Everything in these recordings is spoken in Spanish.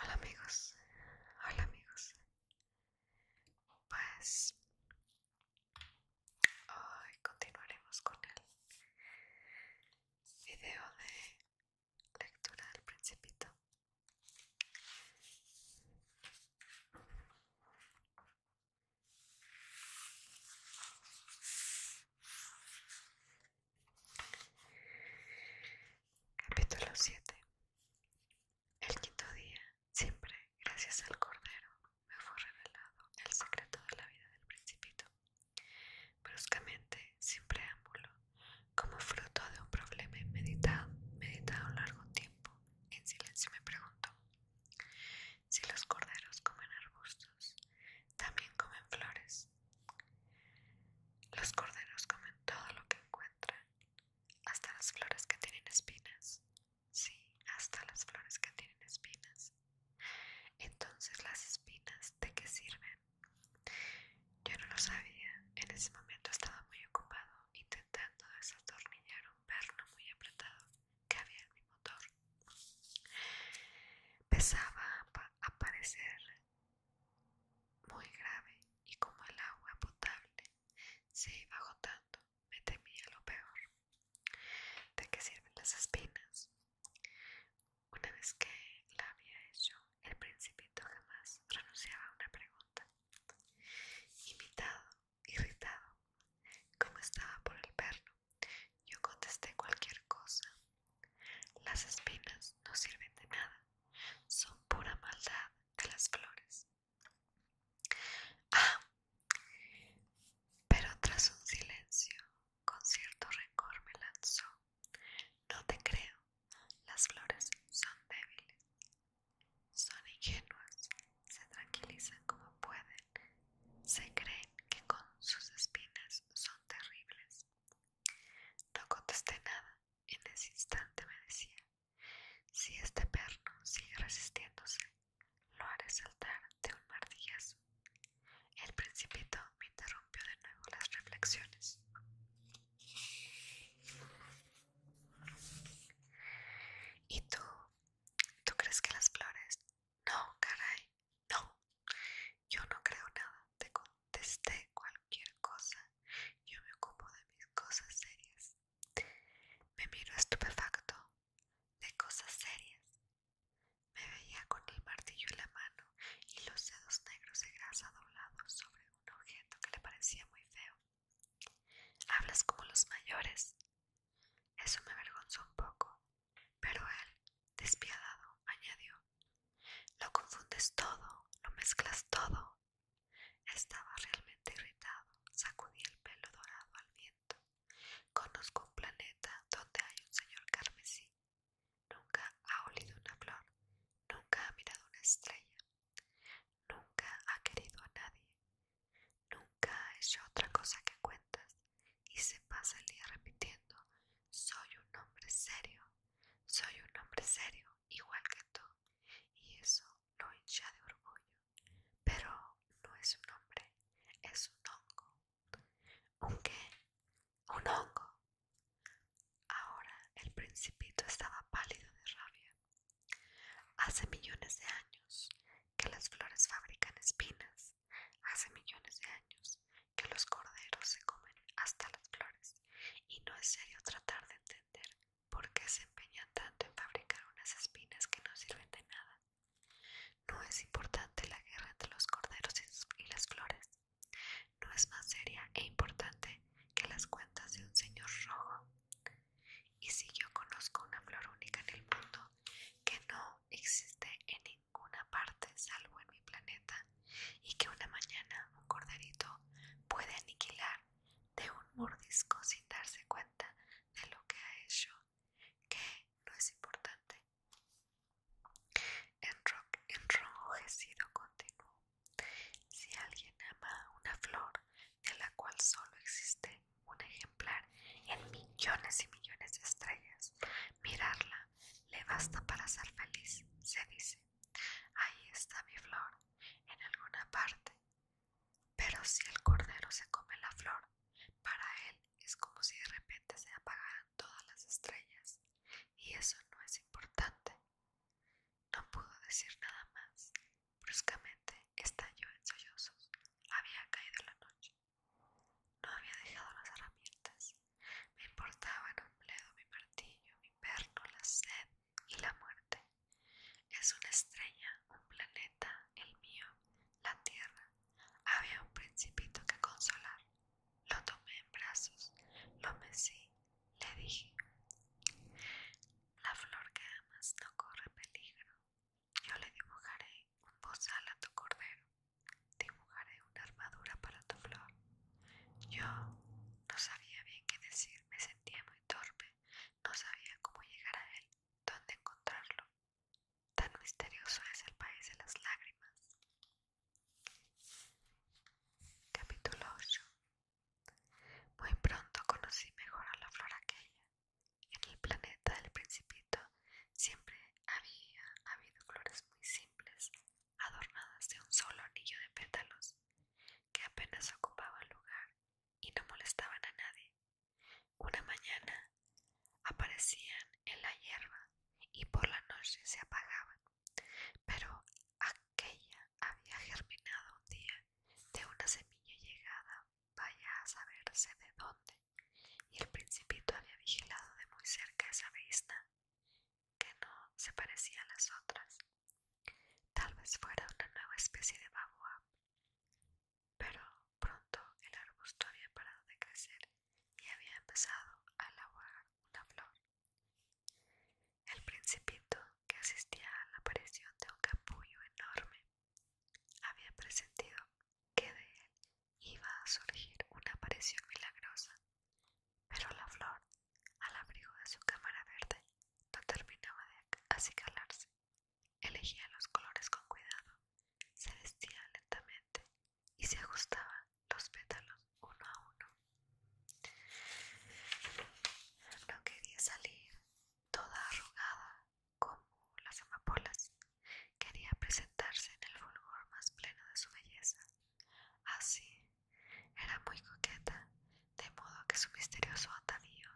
Hola amigos, hola amigos. Pues Hoy continuaremos con el video de lectura del principito. Capítulo 7 El quinto día Siempre, gracias al Cordero, me fue revelado el secreto de la vida del principito. Bruscamente, sin preámbulo, como fruto de un problema meditado largo tiempo, en silencio me preguntó, si los corderos comen arbustos, también comen flores. Los corderos comen todo lo que encuentran, hasta las flores que tienen espinas, sí, hasta las flores que tienen espinas. Entonces, ¿las espinas de qué sirven? Yo no lo sabía, en ese momento estaba muy ocupado intentando desatornillar un perno muy apretado que había en mi motor. Empezaba a parecer muy grave y como el agua potable se iba agotando, me temía lo peor. ¿De qué sirven las espinas? Una vez que la había hecho, el principito jamás renunciaba a una pregunta. Imitado, irritado, como estaba por el perro yo contesté cualquier cosa. Las espinas no sirven de nada, son pura maldad de las flores pero tras un silencio, con cierto rencor me lanzó. No te creo, las flores son débiles, son ingenuas, se tranquilizan como pueden, se creen que con sus espinas son terribles. No contesté nada, en ese instante me decía, si este perno sigue resistiéndose, lo haré saltar de un martillazo. El principito me interrumpió de nuevo las reflexiones. ¿Y tú? ¿Tú crees que las flores? No, caray, no. Yo no creo nada. Te contesté cualquier cosa. Yo me ocupo de mis cosas serias. Me miró estupefacto, de cosas serias. Me veía con el martillo en la mano y los dedos negros de grasa doblados sobre un objeto que le parecía muy feo. Hablas como los mayores. Eso me avergonzó un poco, pero él, despiadado, añadió: Lo confundes todo, lo mezclas todo. Estaba realmente irritado. Sacudí el pelo dorado al viento. Conozco un planeta donde hay un señor carmesí. Nunca ha olido una flor. Nunca ha mirado una estrella. Nunca ha querido a nadie. Nunca ha hecho otra cosa que cuentas. Y se pasa el día repitiendo, soy un hombre serio, soy un hombre serio, igual que tú, y eso lo hincha de orgullo. Pero no es un hombre, es un hongo. ¿Un qué? Un hongo. Ahora el principito estaba pálido de rabia. Hace millones de años que las flores fabrican espinas. Hace millones de años que los corderos se comen hasta las flores. Y no es serio tratar de entender ¿Por qué se empeñan tanto en fabricar unas espinas que no sirven de nada? ¿No es importante la guerra entre los corderos y las flores? ¿No es más seria e importante que las cuentas de un señor rojo? Y si yo conozco una flor única en el mundo que no existe en ninguna parte salvo en mi planeta, y que una mañana un corderito puede aniquilar de un mordisco sin darse cuenta de lo que ha hecho, que no es importante. En rock, Enrojecido continuó. Si alguien ama una flor de la cual solo existe un ejemplar en millones y millones de estrellas, mirarla le basta para ser feliz, se dice ahí está mi flor, en alguna parte. Pero si el cordero se come la flor, para él es como si de repente se apagaran todas las estrellas, y eso no es importante. No pudo decir nada más. Bruscamente estalló en sollozos. Había caído la noche. No había dejado las herramientas. Me importaban un bledo mi martillo, mi perno, la sed y la muerte. Es una estrella, un planeta, el mío, la tierra. Había un principito que consolar. Lo tomé en brazos, lo mecí, le dije. La flor que amas no corre peligro. Yo le dibujaré un bozal a tu cordero dibujaré una armadura para tu flor. Yo no sabía bien qué decir, me sentía muy torpe, no sabía cómo llegar a él, dónde encontrarlo. Tan misterioso es el país de las lágrimas. Capítulo 8 Muy pronto conocí mejor a la flor aquella. En el planeta del principito siempre había habido flores muy simples, adornadas de un solo anillo de pétalos, que apenas ocupaban lugar y no molestaban a nadie. Una mañana aparecían en la hierba y por la noche se apagaban, pero aquella había germinado un día de una semilla llegada, vaya a saberse de dónde, y el principito había vigilado de muy cerca esa vista que no se parecía a las otras. Tal vez fuera una nueva especie de baboa. Pero pronto el arbusto había parado de crecer y había empezado a lavar una flor. El principito, que asistía a la aparición de un capullo enorme, había presentido que de él iba a surgir una aparición milagrosa, pero la flor, al abrigo de su cámara verde, no terminaba de acicalarse. Elegía los colores con cuidado, se vestía lentamente y se ajustaba los pétalos uno a uno. No quería salir toda arrugada como las amapolas, Quería presentarse en el fulgor más pleno de su belleza. Así, era muy coqueta, de modo que su misterioso atavío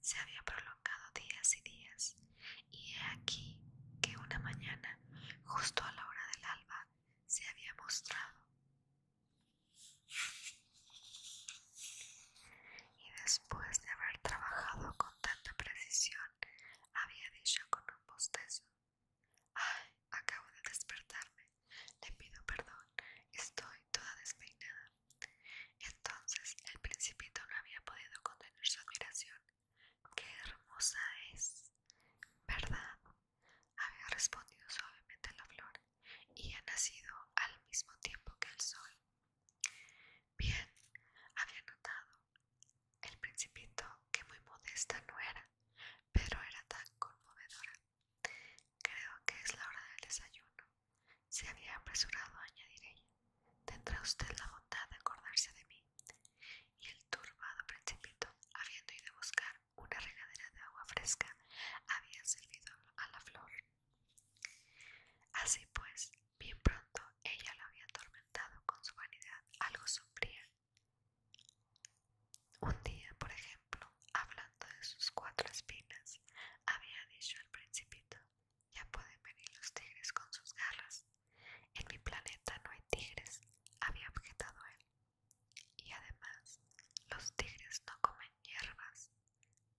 se había prolongado días y días, y he aquí que una mañana, justo a la hora del alba, se había mostrado. Y después de haber trabajado con tanta precisión, había dicho con un bostezo: Ay, acabo de despertarme. Le pido perdón. Estoy toda despeinada. Entonces el principito no había podido contener su admiración. ¡Qué hermosa es! ¿Verdad? Había respondido suavemente la flor y ha nacido al mismo tiempo que el sol. Bien, había notado el principito, que muy modesta no era, pero era tan conmovedora. Creo que es la hora del desayuno. Se había apresurado a añadir ella. Tendrá usted la bondad de acordarse de mí. Y el turbado principito, habiendo ido a buscar una regadera de agua fresca, había servido a la flor. Así pues, Bien pronto ella lo había atormentado con su vanidad algo sombría. Un día, por ejemplo, hablando de sus cuatro espinas, había dicho al principito, ya pueden venir los tigres con sus garras. En mi planeta no hay tigres, había objetado él. Y además, los tigres no comen hierbas.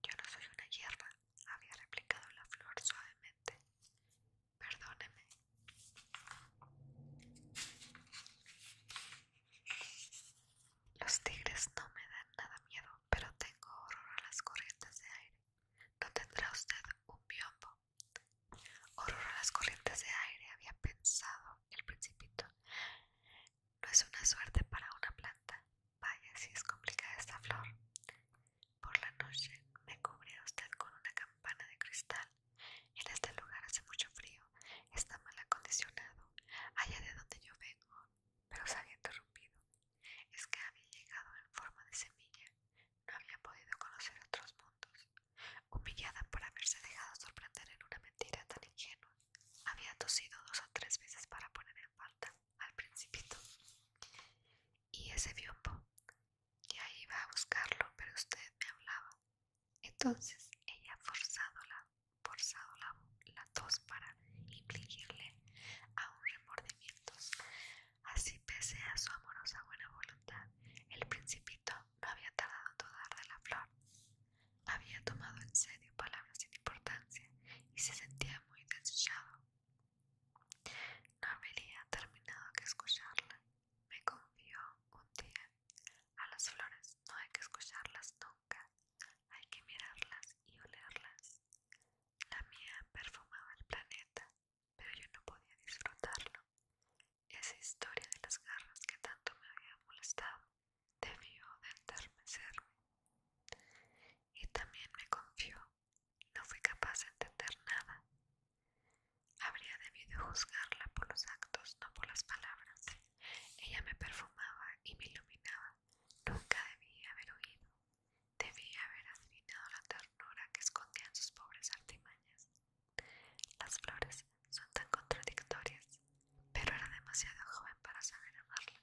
Yo no soy una hierba, había replicado la flor suavemente. Perdóneme. Los tigres no me dan nada miedo, pero tengo horror a las corrientes de aire. ¿No tendrá usted un biombo? Horror a las corrientes de aire, había pensado el principito. No es una suerte para una planta. Vaya si es complicada esta flor. Por la noche me cubre usted con una campana de cristal. En este lugar hace mucho frío, está mal acondicionado, allá de donde yo vengo, pero se había interrumpido. Es que había llegado en forma de semilla, no había podido conocer otros mundos. Humillada por haberse dejado sorprender en una mentira tan ingenua, había tosido dos o tres veces para poner en falta al principito y ese que Ya iba a buscarlo, pero usted me hablaba. Entonces ella ha la, forzado la, tos para a un remordimiento. Así pese a su amorosa buena voluntad, el principito no había tardado en dudar de la flor. Había tomado en serio palabras sin importancia y se sentía muy desechado no habría terminado que escucharla, me confió un día. A las flores no hay que escucharlas nunca, hay que mirarlas y olerlas. La mía perfumaba el planeta, pero yo no podía disfrutarlo. Esa historia de las garras que tanto me había molestado debió de entermecerme. Y también me confió no fui capaz de entender nada. Habría debido juzgarla por los actos, no por las palabras. Ella me perfumaba y me iluminaba. Nunca debí haber oído. Debí haber adivinado la ternura que escondían sus pobres artimañas. Las flores son tan contradictorias, pero era demasiado joven para saber amarla.